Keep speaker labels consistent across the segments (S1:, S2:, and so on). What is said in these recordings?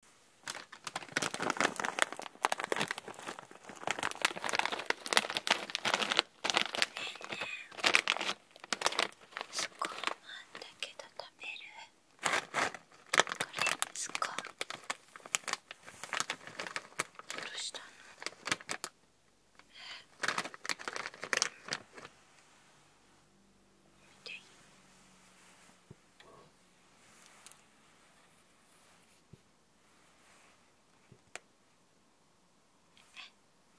S1: スコーンあんだけど食べるこれですか。どうしたのえていいえ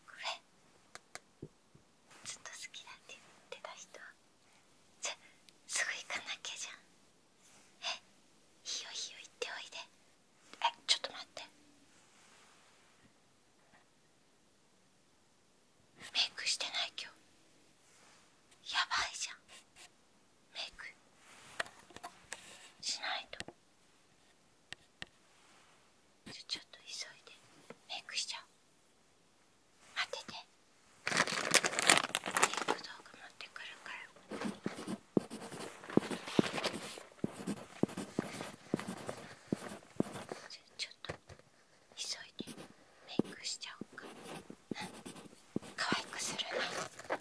S1: これずっと好きだって言ってた人じゃすぐ行かなきゃじゃんえいいよいいよ行っておいでえちょっと待ってメイクしてない今日やばいじゃんメイクしないとじゃ、ちょっと急いでメイクしちゃう待っててメイク道具持ってくるから。じゃ、ちょっと急いでメイクしちゃおうか可愛くするなえっとま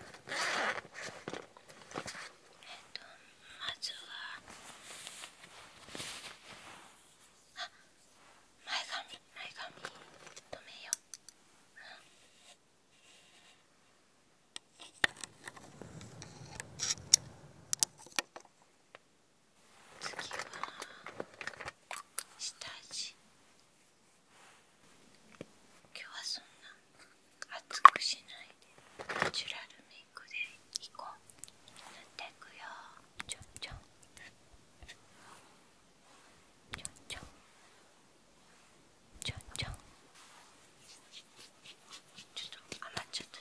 S1: ずはあ前髪前髪止めよう、うん次は下地今日はそんな熱くしないでナチュラルメイクでいこう塗っていくよちょんちょんちょんちょんちょんちょんちょっと余っちゃった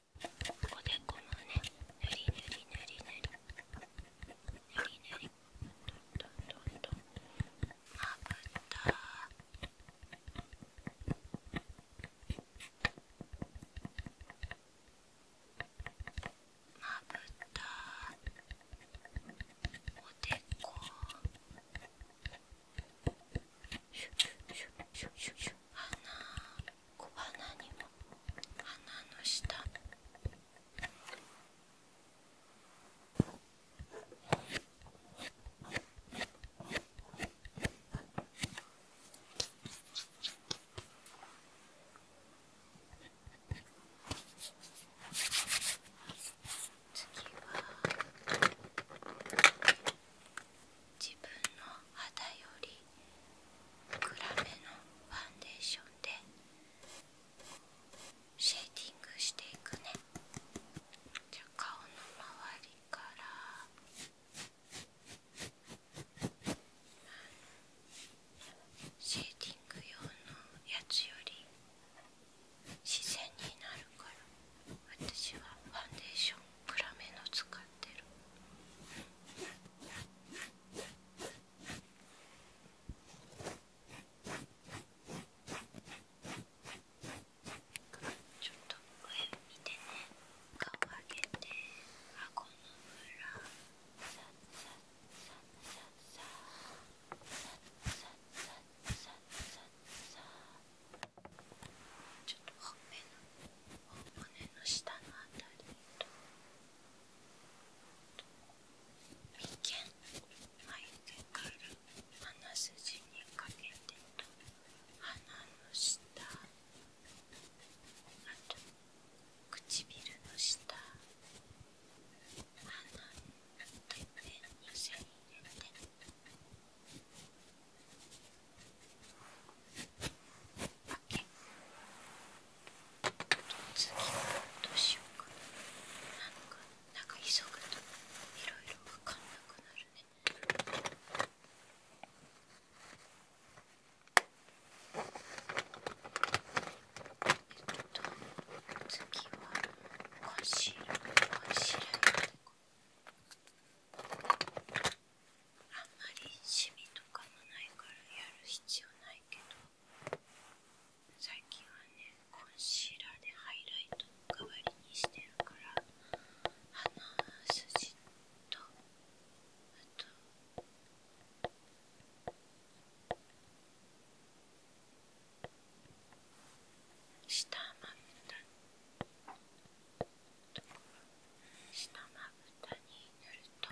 S1: おでこむねぬりぬりぬりぬりぬりぬりとんとんとまぶたまぶたおでこシュシュシュシュシュ鼻小鼻にも鼻の下次は自分の肌より暗めのファンデーションでシェーディングしていくねじゃあ顔の周りからシェーディング用のやつより自然になるから。私はファンデーション暗めの使ってるちょっと上見てね顔上げて顎の裏さっさっさっさっさっさっさっさっさっさっさちょっとほのお骨の下のあたりと眉間眉毛から鼻筋にかけてと鼻の下あと唇の下鼻のっぺんに線入れて次は、どうしようかなんかなんか急ぐといろいろ分かんなくなるねえっと次はコンシーラーコあんまりシミとかもないからやる必要ないけど最近はねコンシーラーでハイライト代わりにしてるから鼻筋とあと下まぶた下まぶたに塗ると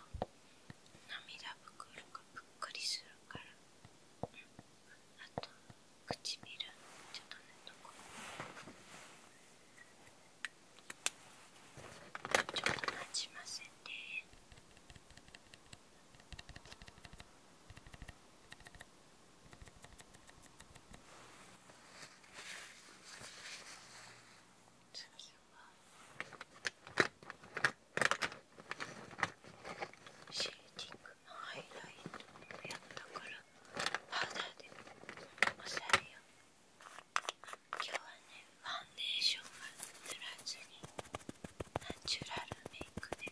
S1: 涙袋がぷっくりするから、あと唇ちょっと塗っとこうちょっとなじませてシェーディングのハイライトをやったからパウダーで押さえよ今日はねファンデーションは塗らずにナチュラルメイクで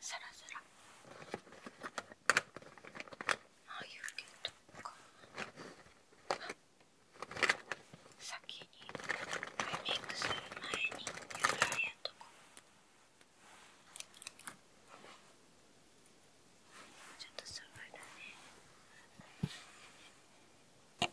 S1: サラサラああいう先にクする前にやらやとちょっと下がるね。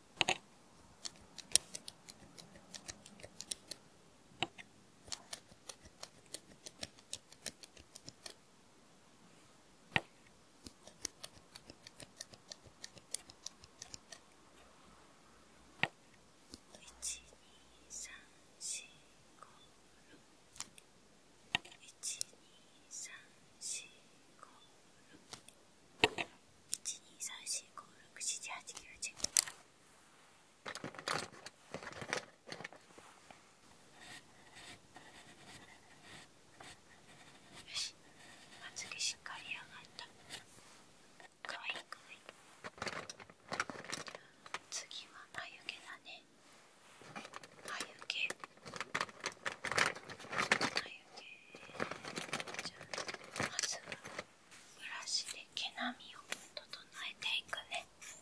S1: 123456。123456。1、10 2、3、4、5、6、7、8、9、。よしまつげしっかり上がったかわいいかわいい次は眉毛だね眉毛じゃあまずはブラシで毛並みを整えていくねこ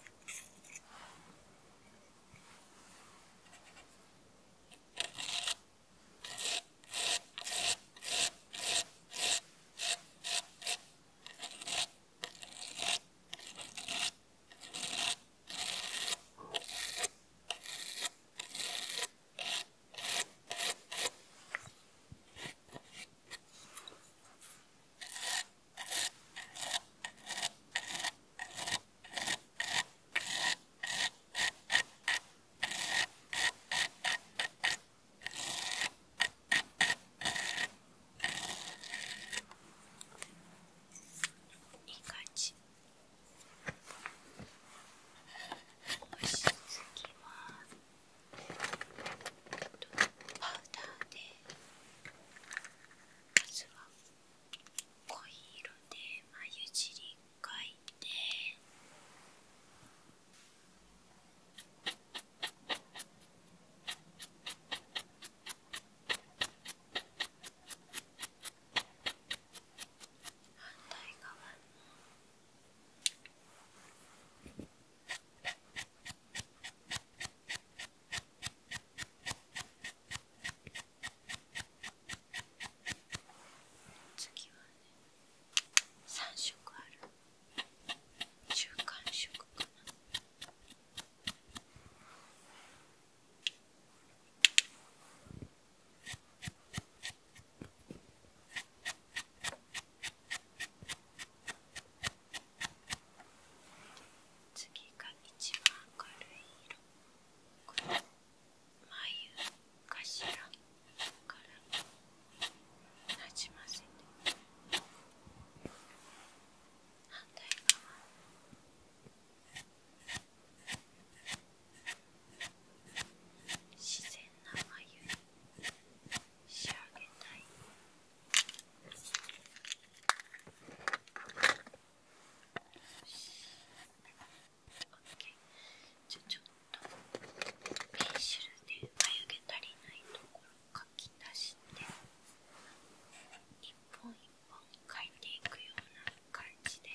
S1: いい感じ。次はパウダーでまずは濃い色で眉尻描いて反対側の次はね3色ある中間色かな次が一番明るい色この眉頭からなじませて反対側自然な眉に仕上げたいよ OK じゃちょっとペンシルで眉毛足りないところ書き足して一本一本描いていくような感じでね。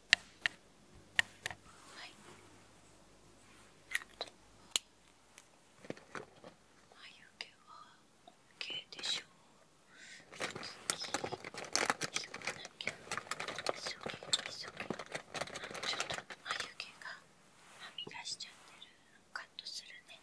S1: はい眉毛は OK でしょう次急がなきゃ急げ急げちょっと眉毛がはみ出しちゃってるカットするね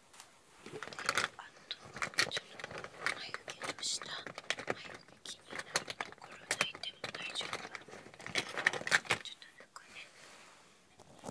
S1: あとちょっと眉毛の下眉毛気になるところ抜いても大丈夫ちょっと抜くねあ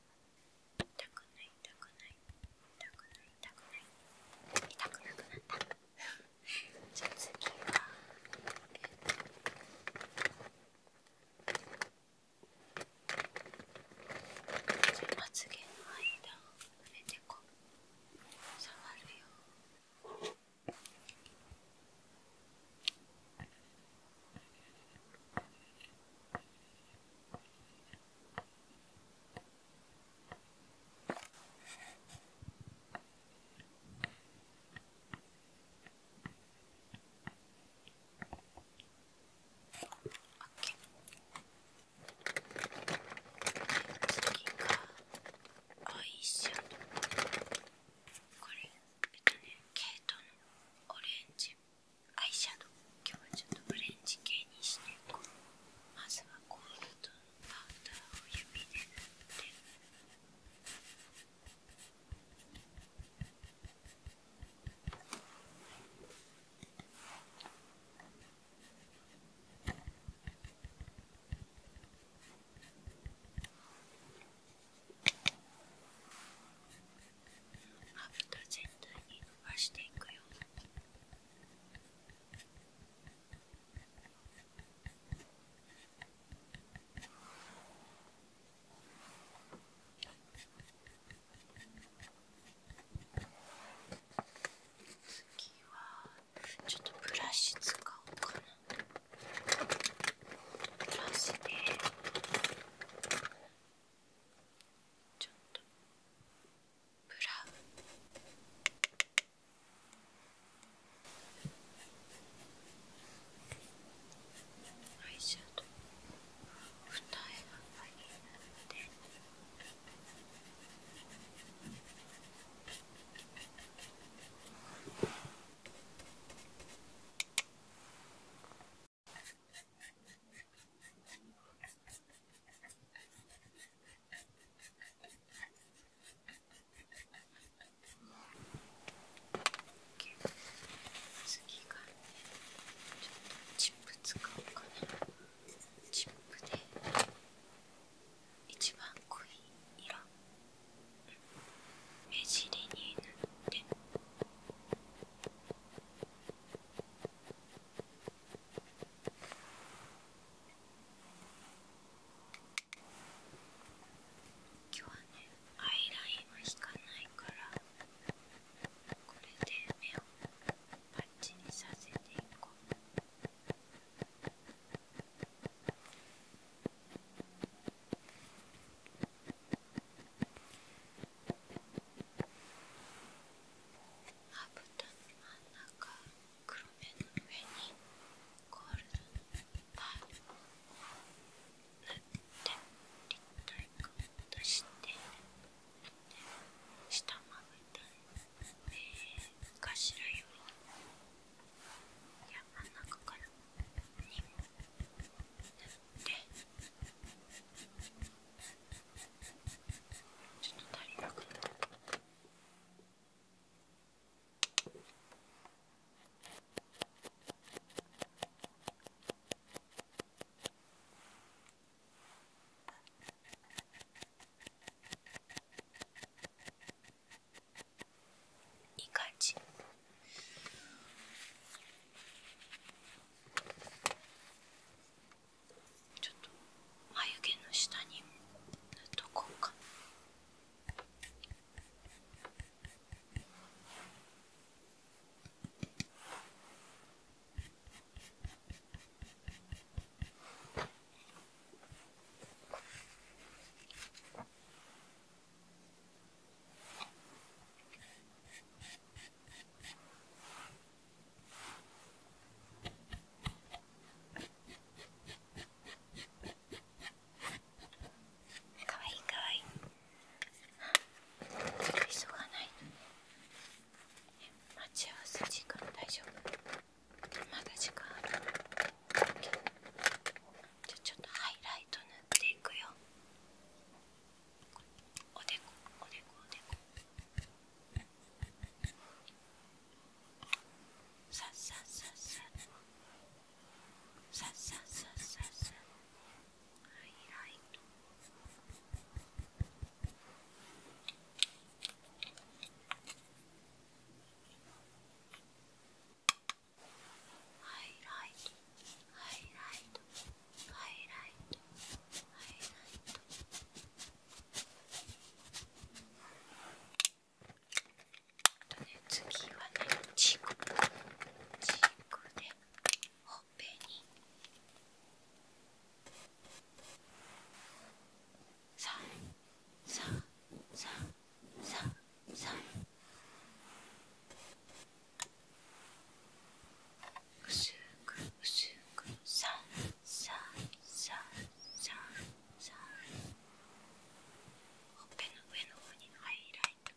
S1: 痛くない痛くない痛くない痛くない痛くなくなったじゃあ次はじゃあまつげの間を埋めてこう。触るよ次がこれえとねケイトのオレンジアイシャドウ今日はちょっとブレンジ系にしていこうまずはゴールドのパウダーを指で塗ってまぶた全体に伸ばしていくよ次はちょっとブラシ使おうかなブラシでちょっとブラウンアイシャドウ二重が入って次がねちょっとチップ使おうかなチップで一番濃い色目尻に塗って。今日はねアイラインは引かないからこれで目をパッチにさせていこう。まぶたの真ん中黒目の上にゴールドのパールを塗って立体感を出して下まぶた目頭よりいや真ん中から2本ちょっいい感じ。ちょっと眉毛の下に塗っとこうか。かわいいかわいい急がない待ち合わせ時間大丈夫まだ時間あるじゃちょっとハイライト塗っていくよおでこおでこおでこさっさっさっささっさっさっさっさはいはいハイライトハイライトハイライトハイライトあとね次はねチークチークでほっぺにさささささ薄く薄くさささささほっぺの上の方にハイライトこ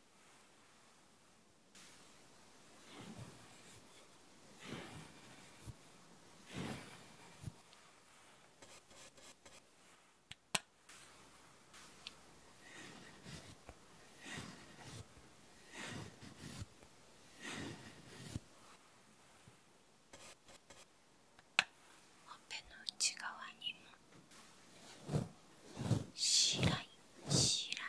S1: オペの内側にも白い白い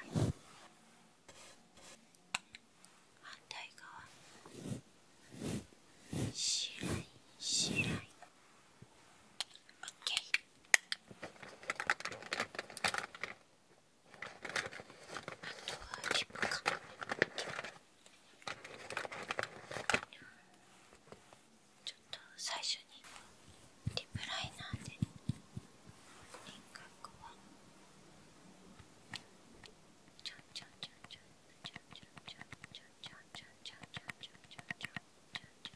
S1: 反対側白い白い OK はリップちょっと最初にリップライナーで輪郭をちょんちょんちょんちょんちょんちょんちょんちょんちょんちょんちょんちょんちょんちょんちょんちょんちょんちょん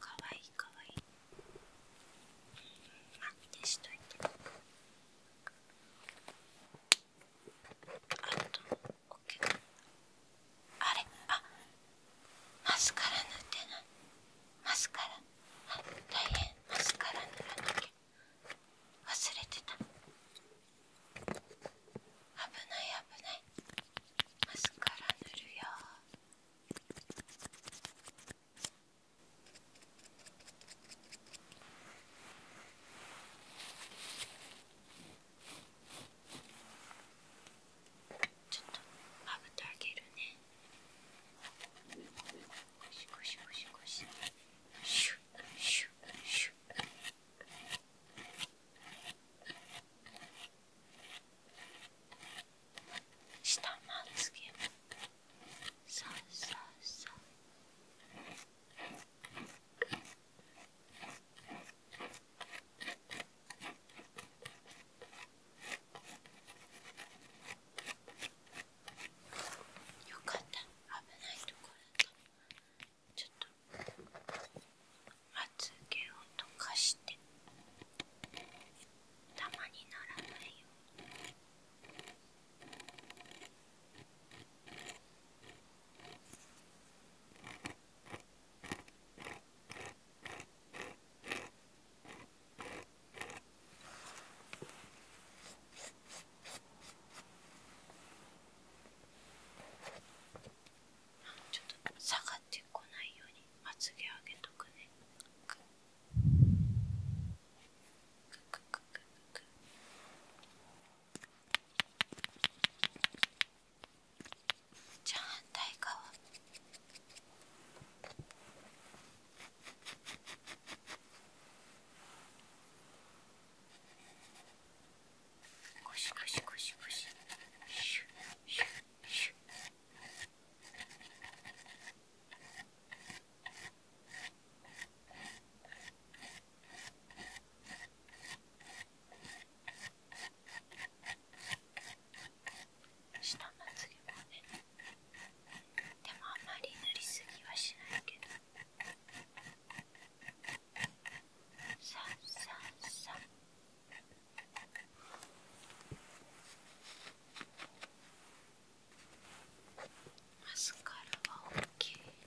S1: かわいいかわいいま消しといてあと OK あれあマスカラ塗ってないマスカラあ大変マスカラ塗らなきゃ忘れてた危ない危ないマスカラ塗るよあちょっとまぶたあげるねゴシゴシゴシゴシシュッシュッシュッ下まつげもさあさあさあよかった危ないところだちょっとまつげを溶かしてたまにならないように。よちょっと下がってこないようにまつげ上げとくねくくくくくくじゃあ反対側ゴシゴシゴシゴシシュシュシュ下まつげもねでもあんまり塗りすぎはしないけどさあさマスカラは OK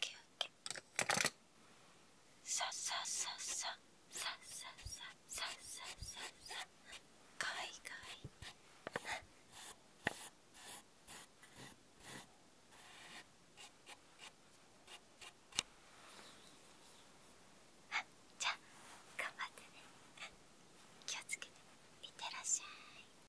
S1: けあけさささささささささささかわいいかわいいあじゃあ頑張ってね気をつけていってらっしゃい